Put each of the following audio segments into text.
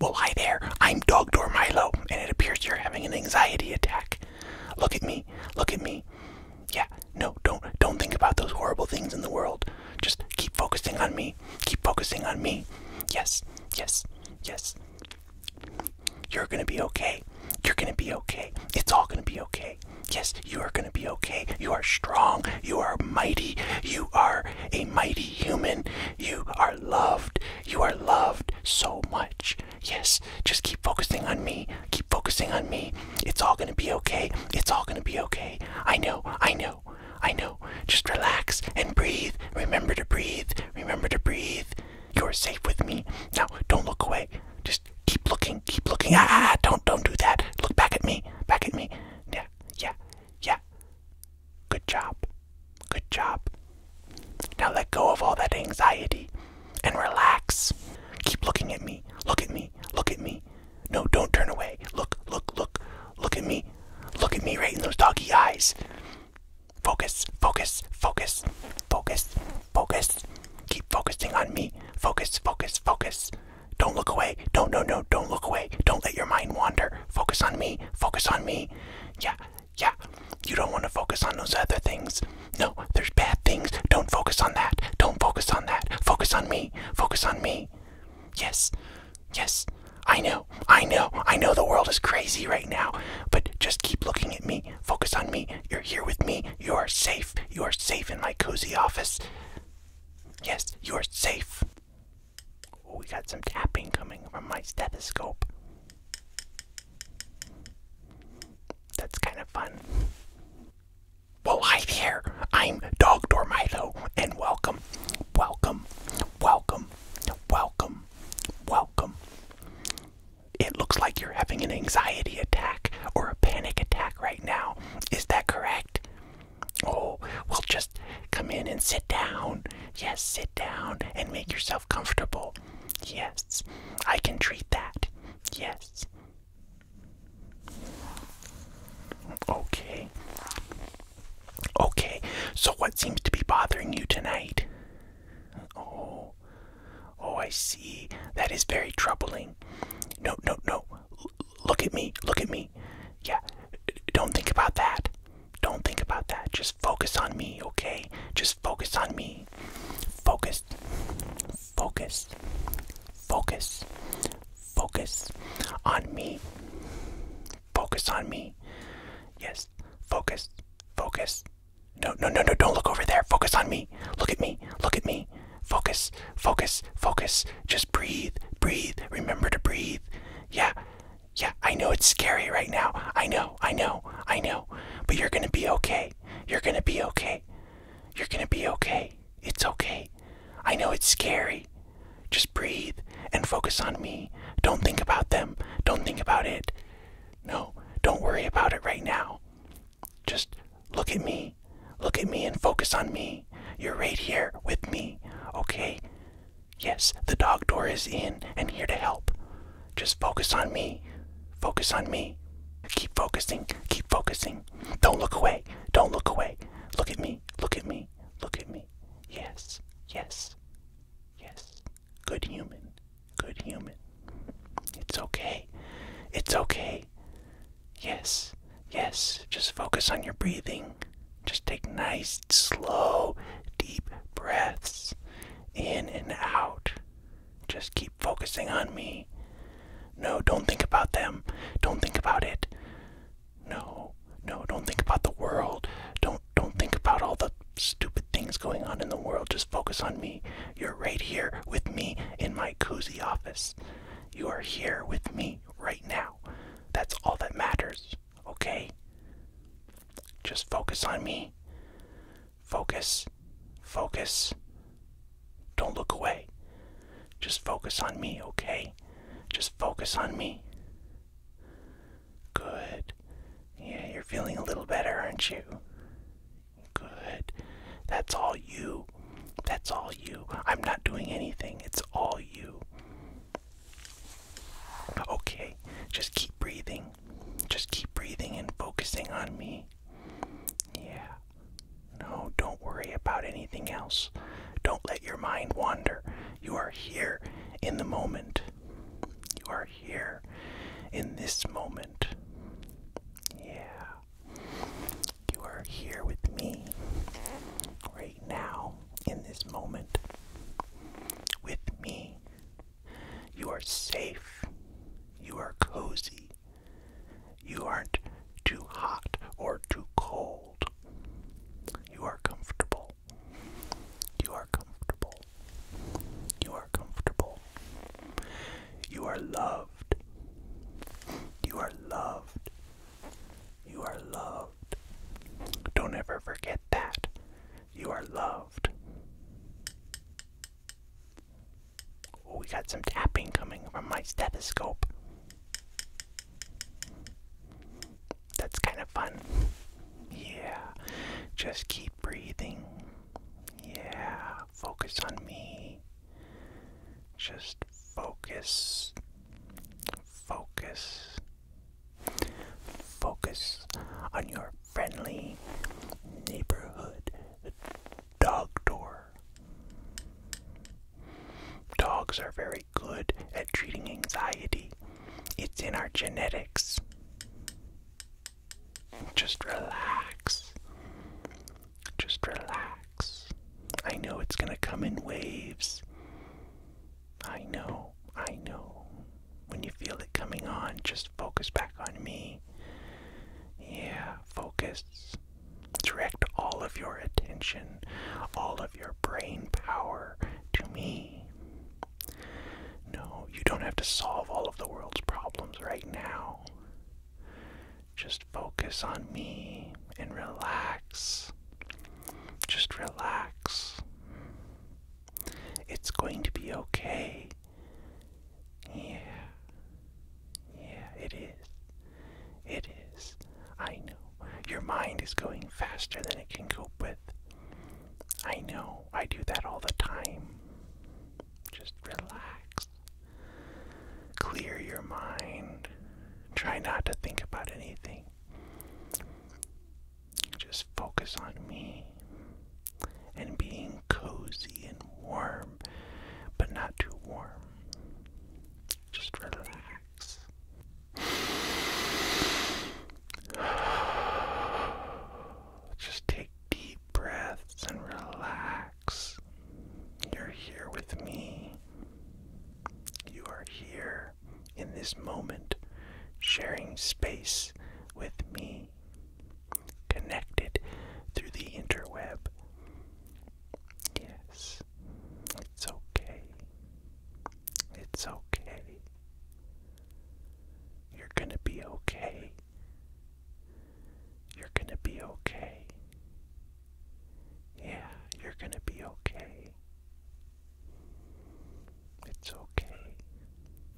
Well, hi there. I'm Dog Door Milo, and it appears you're having an anxiety attack. Look at me. Look at me. Yeah, no, don't don't think about those horrible things in the world. Just keep focusing on me. Keep focusing on me. Yes. Yes. Yes. You're going to be okay. You're going to be okay. It's all going to be okay. Yes, you are going to be okay. You are strong. You are mighty. You are a mighty human. You are loved. You are loved so much. Yes, just keep focusing on me. Keep focusing on me. It's all gonna be okay. It's all gonna be okay. I know, I know, I know. Just relax and breathe. Remember to breathe. Remember to breathe. You're safe with me. Now, don't look away. Just keep looking. Keep looking. Ah, don't, don't do that. Look back at me. Back at me. Yeah, yeah, yeah. Good job. Good job. Now let go of all that anxiety and relax. Keep looking at me. Look at me. Look at me. No, don't turn away. Look, look, look. Look at me. Look at me right in those doggy eyes. Focus, focus, focus, focus, focus. Keep focusing on me. Focus, focus, focus. Don't look away. Don't, no, no, don't look away. Don't let your mind wander. Focus on me. Focus on me. Yeah, yeah. You don't want to focus on those other things. No, there's bad things. Don't focus on that. Don't focus on that. Focus on me. Focus on me. Yes, yes. I know, I know, I know the world is crazy right now, but just keep looking at me. Focus on me. You're here with me. You are safe. You are safe in my cozy office. Yes, you are safe. Oh, we got some tapping coming from my stethoscope. That's kind of fun. Well, hi there. I'm Dog Dormito, and welcome, welcome, welcome, welcome, welcome. It looks like you're having an anxiety attack or a panic attack right now. Is that correct? Oh, well, just come in and sit down. Yes, sit down and make yourself comfortable. Yes, I can treat that. Yes. Okay. Okay, so what seems to be bothering you tonight? Oh, oh, I see. That is very troubling. No, no, no look at me, look at me. Yeah, don't think about that. Don't think about that. Just focus on me, okay? Just focus on me. Focus, focus, focus, focus on me. Focus on me. Yes, focus, focus. No, no, no, no, don't look over there. Focus on me. Look at me, look at me. Focus, focus, focus. Just breathe, breathe. Remember to breathe. Yeah, yeah, I know it's scary right now. I know, I know, I know. But you're gonna be okay. You're gonna be okay. You're gonna be okay. It's okay. I know it's scary. Just breathe and focus on me. Don't think about them. Don't think about it. No, don't worry about it right now. Just look at me. Look at me and focus on me. You're right here with me, okay? Yes, the dog door is in and here to help. Just focus on me. Focus on me. Keep focusing. Keep focusing. Don't look away. Don't look away. Look at me. Look at me. Look at me. Yes. Yes. Yes. Good human. Good human. It's okay. It's okay. Yes, yes. Just focus on your breathing. Just take nice, slow, deep breaths in and out. Just keep focusing on me. No, don't think about them. Don't think about it. No, no, don't think about the world. Don't don't think about all the stupid things going on in the world. Just just focus on me. You're right here with me in my cozy office. You are here with me right now. That's all that matters, okay? Just focus on me. Focus. Focus. Don't look away. Just focus on me, okay? Just focus on me. Good. Yeah, you're feeling a little better, aren't you? Good. That's all you. That's all you. I'm not doing anything. It's all you. Okay, just keep breathing. Just keep breathing and focusing on me. Yeah. No, don't worry about anything else. Don't let your mind wander. You are here in the moment. You are here in this moment. Yeah. You are here with me right now in this moment. With me. You are safe. You are cozy. You aren't too hot or too cold. You are comfortable. You are comfortable. You are comfortable. You are loved. You are loved. You are loved. Don't ever forget that. You are loved. Oh, we got some tapping coming from my stethoscope. That's kind of fun. Yeah. Just keep breathing. Yeah, focus on me. Just focus. Focus. Focus on your friendly neighborhood dog door. Dogs are very good at treating anxiety it's in our genetics. Just relax. Just relax. I know it's going to come in waves. I know. I know. When you feel it coming on, just focus back on me. Yeah, focus. Direct all of your attention, all of your brain power to me. No, you don't have to solve all of the world's problems right now. Just focus on me and relax. Just relax. It's going to be okay. Yeah. Yeah, it is. It is. I know. Your mind is going faster than it can cope with. I know, I do that all the time. Just relax. Clear your mind. Try not to think about anything. Just focus on me and being cozy and warm, but not too warm. Just relax. Just take deep breaths and relax. You're here with me. You are here in this moment, sharing space with me, connected through the interweb. Yes. It's okay. It's okay. You're gonna be okay. You're gonna be okay. Yeah, you're gonna be okay. It's okay.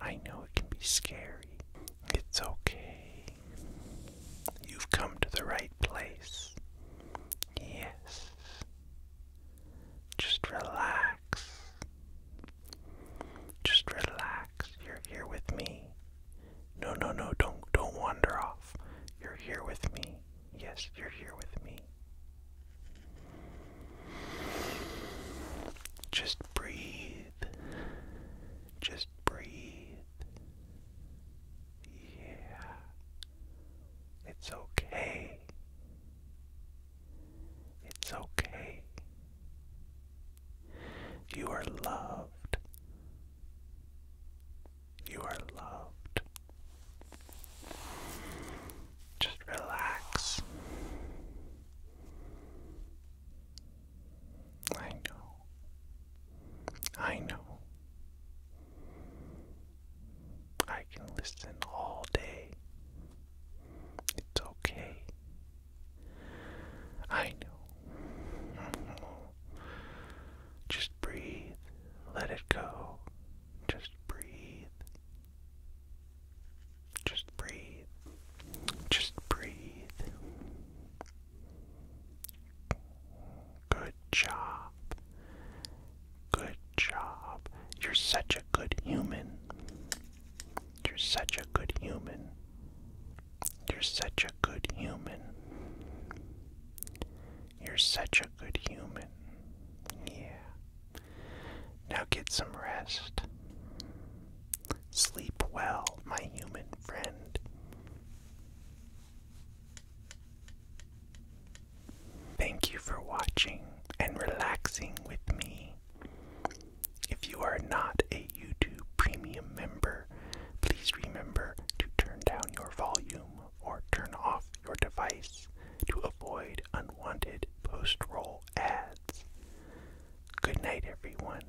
I know it can be scary. It's okay. You've come to the right place. Yes, just relax. Just relax. You're here with me. No, no, no, don't don't wander off. You're here with me. Yes, you're here with me. Just breathe. Just breathe. Yeah. It's okay. It's okay. You are loved. You are loved. Just relax. I know. I know. I can listen all day. It's okay. I know. Mm-hmm. Just breathe. Let it go. Just breathe. Just breathe. Just breathe. Good job. Good job. You're such a good human. You're such a good human. You're such a good human. You're such a good human. Yeah. Now get some rest. Sleep well, my human friend. Thank you for watching and relaxing with me. If you are not a YouTube Premium member, please remember to turn down your volume or turn off your device to avoid unwanted post roll ads. Good night, everyone.